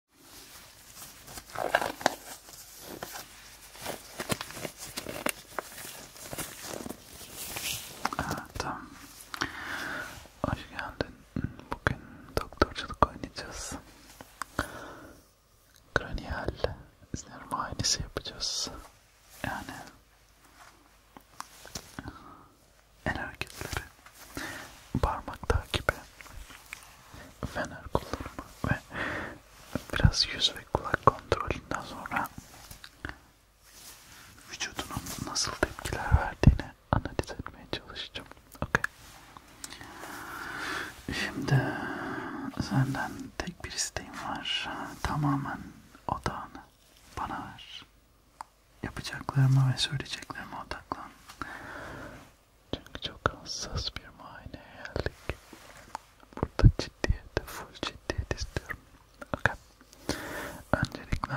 Evet. Hoş geldin. Bugün doktorculuk oynayacağız. Kraniyal sinir muayenesi yapacağız. Yani en hareketleri parmak takibi, fener kullanımı ve biraz yüz ve kulak kontrolünden sonra vücudunun nasıl tepkiler verdiğini analiz etmeye çalışacağım. Okay. Şimdi senden tek bir isteğim var. Tamamen odağını bana ver. Yapacaklarıma ve söyleyeceklerime odaklan. Çünkü çok hassas bir muayeneye geldik. Burada ciddiyet, full ciddiyet istiyorum. Okay. Öncelikle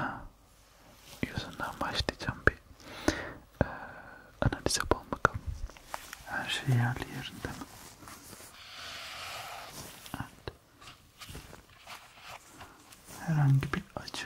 yüzünden başlayacağım bir e, analiz yapalım bakalım. Her şey yerli yerinde mi? Evet. Herhangi bir acı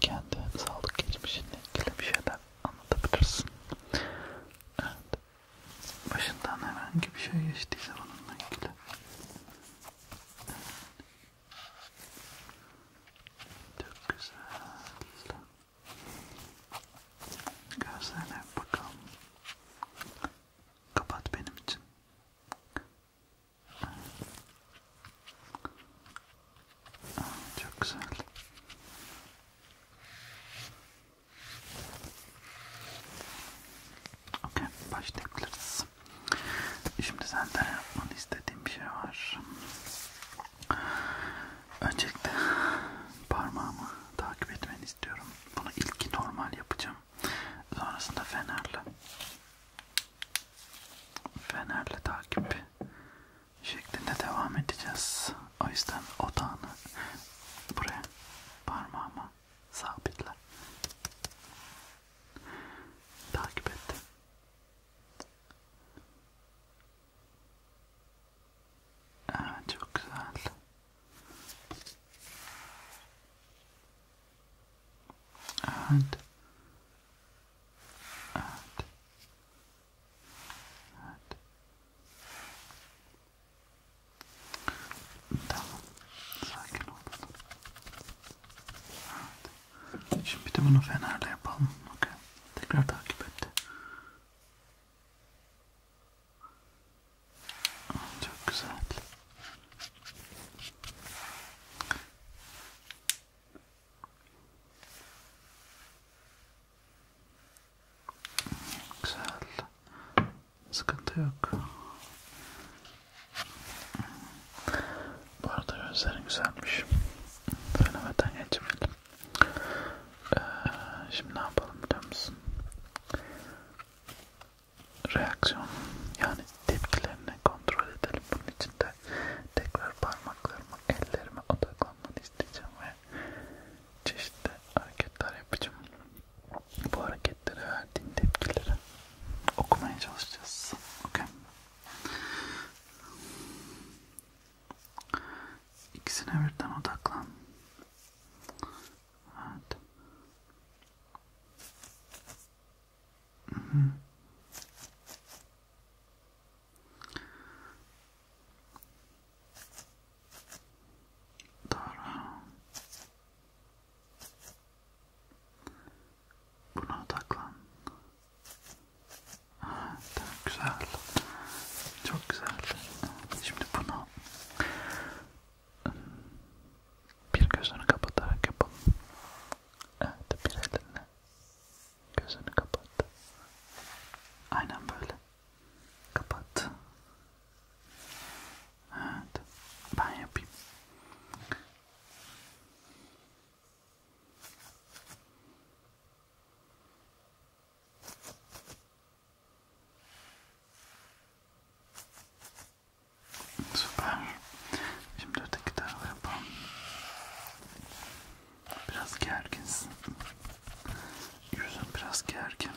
kendi sağlık geçmişinle ilgili bir şeyler anlatabilirsin. Evet. Başından herhangi bir şey geçtiyse bununla ilgili. Evet. Çok güzel. Gözlerine bakalım. Kapat benim için. Çok güzel. Okay, başlayabiliriz. Şimdi senden yapmanı istediğim bir şey var. Öncelikle parmağımı takip etmeni istiyorum. Bunu ilk normal yapacağım. Sonrasında fenerle. Fener'le takip şeklinde devam edeceğiz. O yüzden odağını buraya parmağıma sabitle. Takip ettim. Evet çok güzel. Evet. Evet. Evet. Tamam. Sakin ol. Evet. Şimdi bir de bunu fenerle yapalım. Okay. Tekrar takip etti. Çok güzel. Güzel. Sıkıntı yok. Bu arada gözlerin güzelmiş. Söylemeden geçmeyelim. Ee, şimdi ne yapalım biliyor musun? reaksiyon yani tepkilerini kontrol edelim. Bunun için de tekrar parmaklarımı ellerime odaklanmanı isteyeceğim ve çeşitli hareketler yapacağım. Bu hareketlere verdiğin tepkileri okumaya çalışacağız. Okay. İkisine birden odaklan. Evet. Doğru. Buna odaklan. Ha, tamam, güzel. Çok güzel. Şimdi bunu bir gözünü kapatarak yapalım. Evet, bir elinle gözünü kapat. Aynen böyle. Kapat. Evet, ben yapayım. Evet. Süper. Şimdi öteki tarafa yapalım. Biraz gerginsin. Yüzün biraz gergin.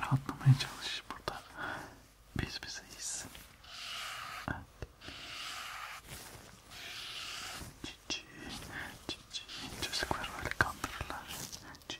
Rahatlamaya çalış burada. Biz bizeyiz. Evet. Cici, cici. Çocuklar böyle kandırırlar. Cici.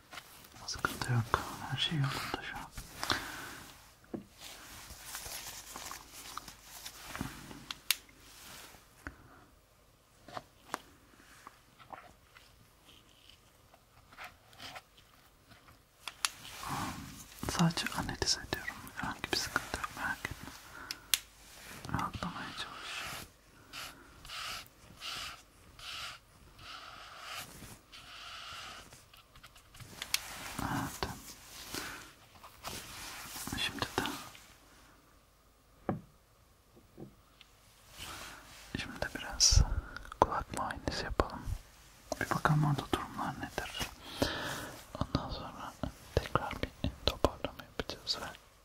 Sıkıntı yok. Her şey yolunda şu an. Sadece analiz ediyorum. Herhangi bir sıkıntı yok. Merak etme. Rahatlamaya çalışıyorum. Evet. Şimdi de Şimdi de biraz kulak muayenesi yapalım. Bir bakalım orada durumlar nedir. Ondan sonra tekrar bir toparlama yapacağız ve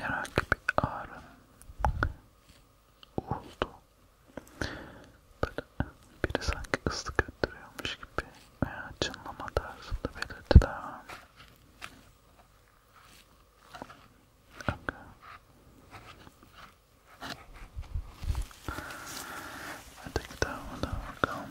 herhangi bir ağrım oldu. Böyle biri sanki ıslık öttürüyormuş gibi veya çınlama tarzında belirtiler var. Okay. Hadi gidelim bakalım.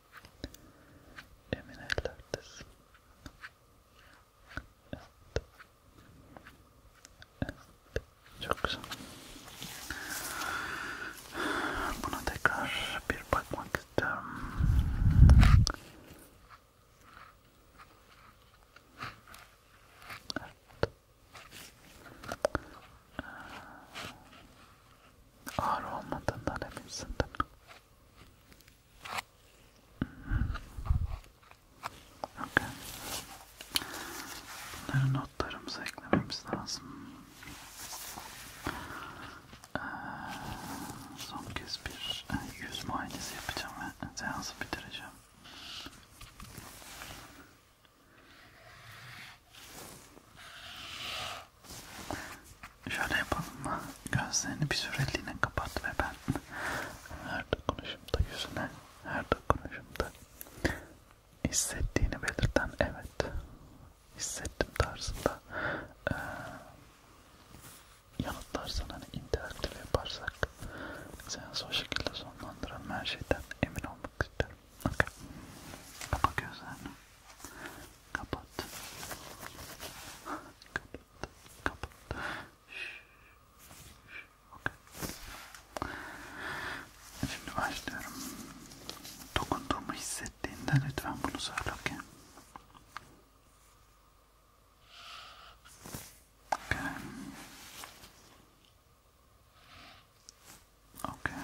Emin ellerdesin. Evet. Evet. Çok güzel. Buna tekrar bir bakmak istiyorum. Evet. Ee, ağır olmadığından eminsin değil mi? Okay. Bunları notlarımıza eklememiz lazım. Ee, son kez bir e, yüz muayenesi yapacağım ve seansı bitireceğim. Şöyle yapalım mı? Gözlerini bir süreliğine kapat ve ben her dokunuşumda yüzüne, her dokunuşumda hissettiğini belirten evet hissettim tarzında ee, yanıtlarsan hani interaktif yaparsak seansı o şekilde sonlandıralım her şeyden emin olmak isterim. Okay. Bak gözlerine. Kapat. Kapat. Kapat. Şşş. Okay. Şimdi başlıyorum. Dokunduğumu hissettiğinde lütfen bunu söyle okay? okay. Okay.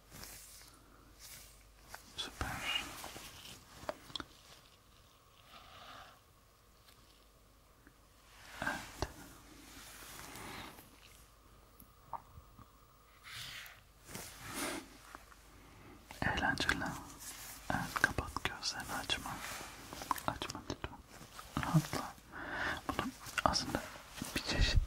Süper. Evet. Eğlenceli. Evet kapat gözlerini açma. Açma lütfen. Rahatla. Bunu aslında bir çeşit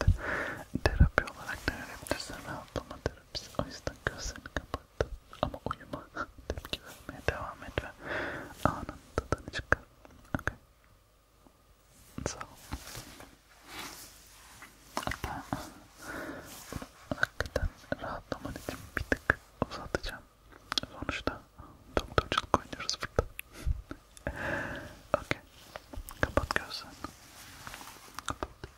terapi olarak da öğrenebilirsin. Rahatlama terapisi. O yüzden gözlerini kapat ama uyuma tepki vermeye devam et ve anın tadını çıkar. Okay. So, ben hakikaten rahatlaman için bir tık uzatacağım. Sonuçta doktorculuk oynuyoruz burada. okay. Kapat gözlerini. Kapat.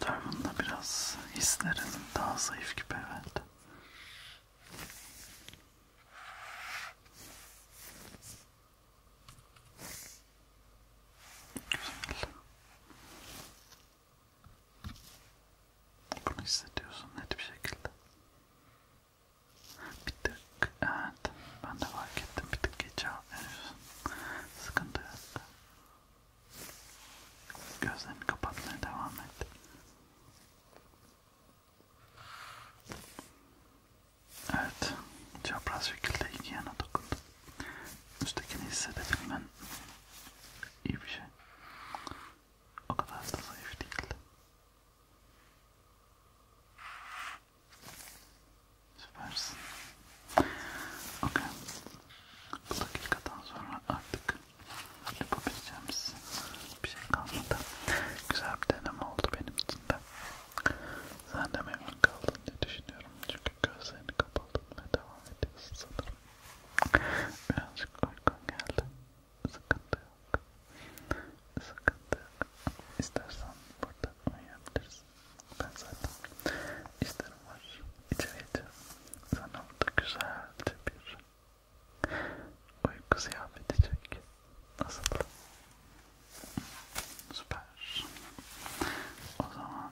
Tarımında biraz hislerin daha zayıf gibi evet. Güzel. Bunu hissediyorsun net bir şekilde. Bir tık, evet ben de fark ettim bir tık geç cevap veriyorsun. Sıkıntı yok. Gözlerini kapatmaya devam et. Evet, çapraz şekilde iki yana dokundum. Üsttekini hissedebilmen iyi bir şey. O kadar da zayıf değildi. Süpersin. Okay. Bu dakikadan sonra artık yapabileceğimiz bir şey kalmadı. Güzel bir deneme oldu benim için de. Sen de memnun kaldın diye düşünüyorum. Çünkü gözlerini kapattın ve devam ediyorsun sanırım. Birazcık uykum geldi. Sıkıntı yok. Sıkıntı yok. İstersen burada uyuyabilirsin. Ben zaten isterim var. İçeride sana burada güzelce bir uyku ziyafet edecek. Nasıl? Süper. O zaman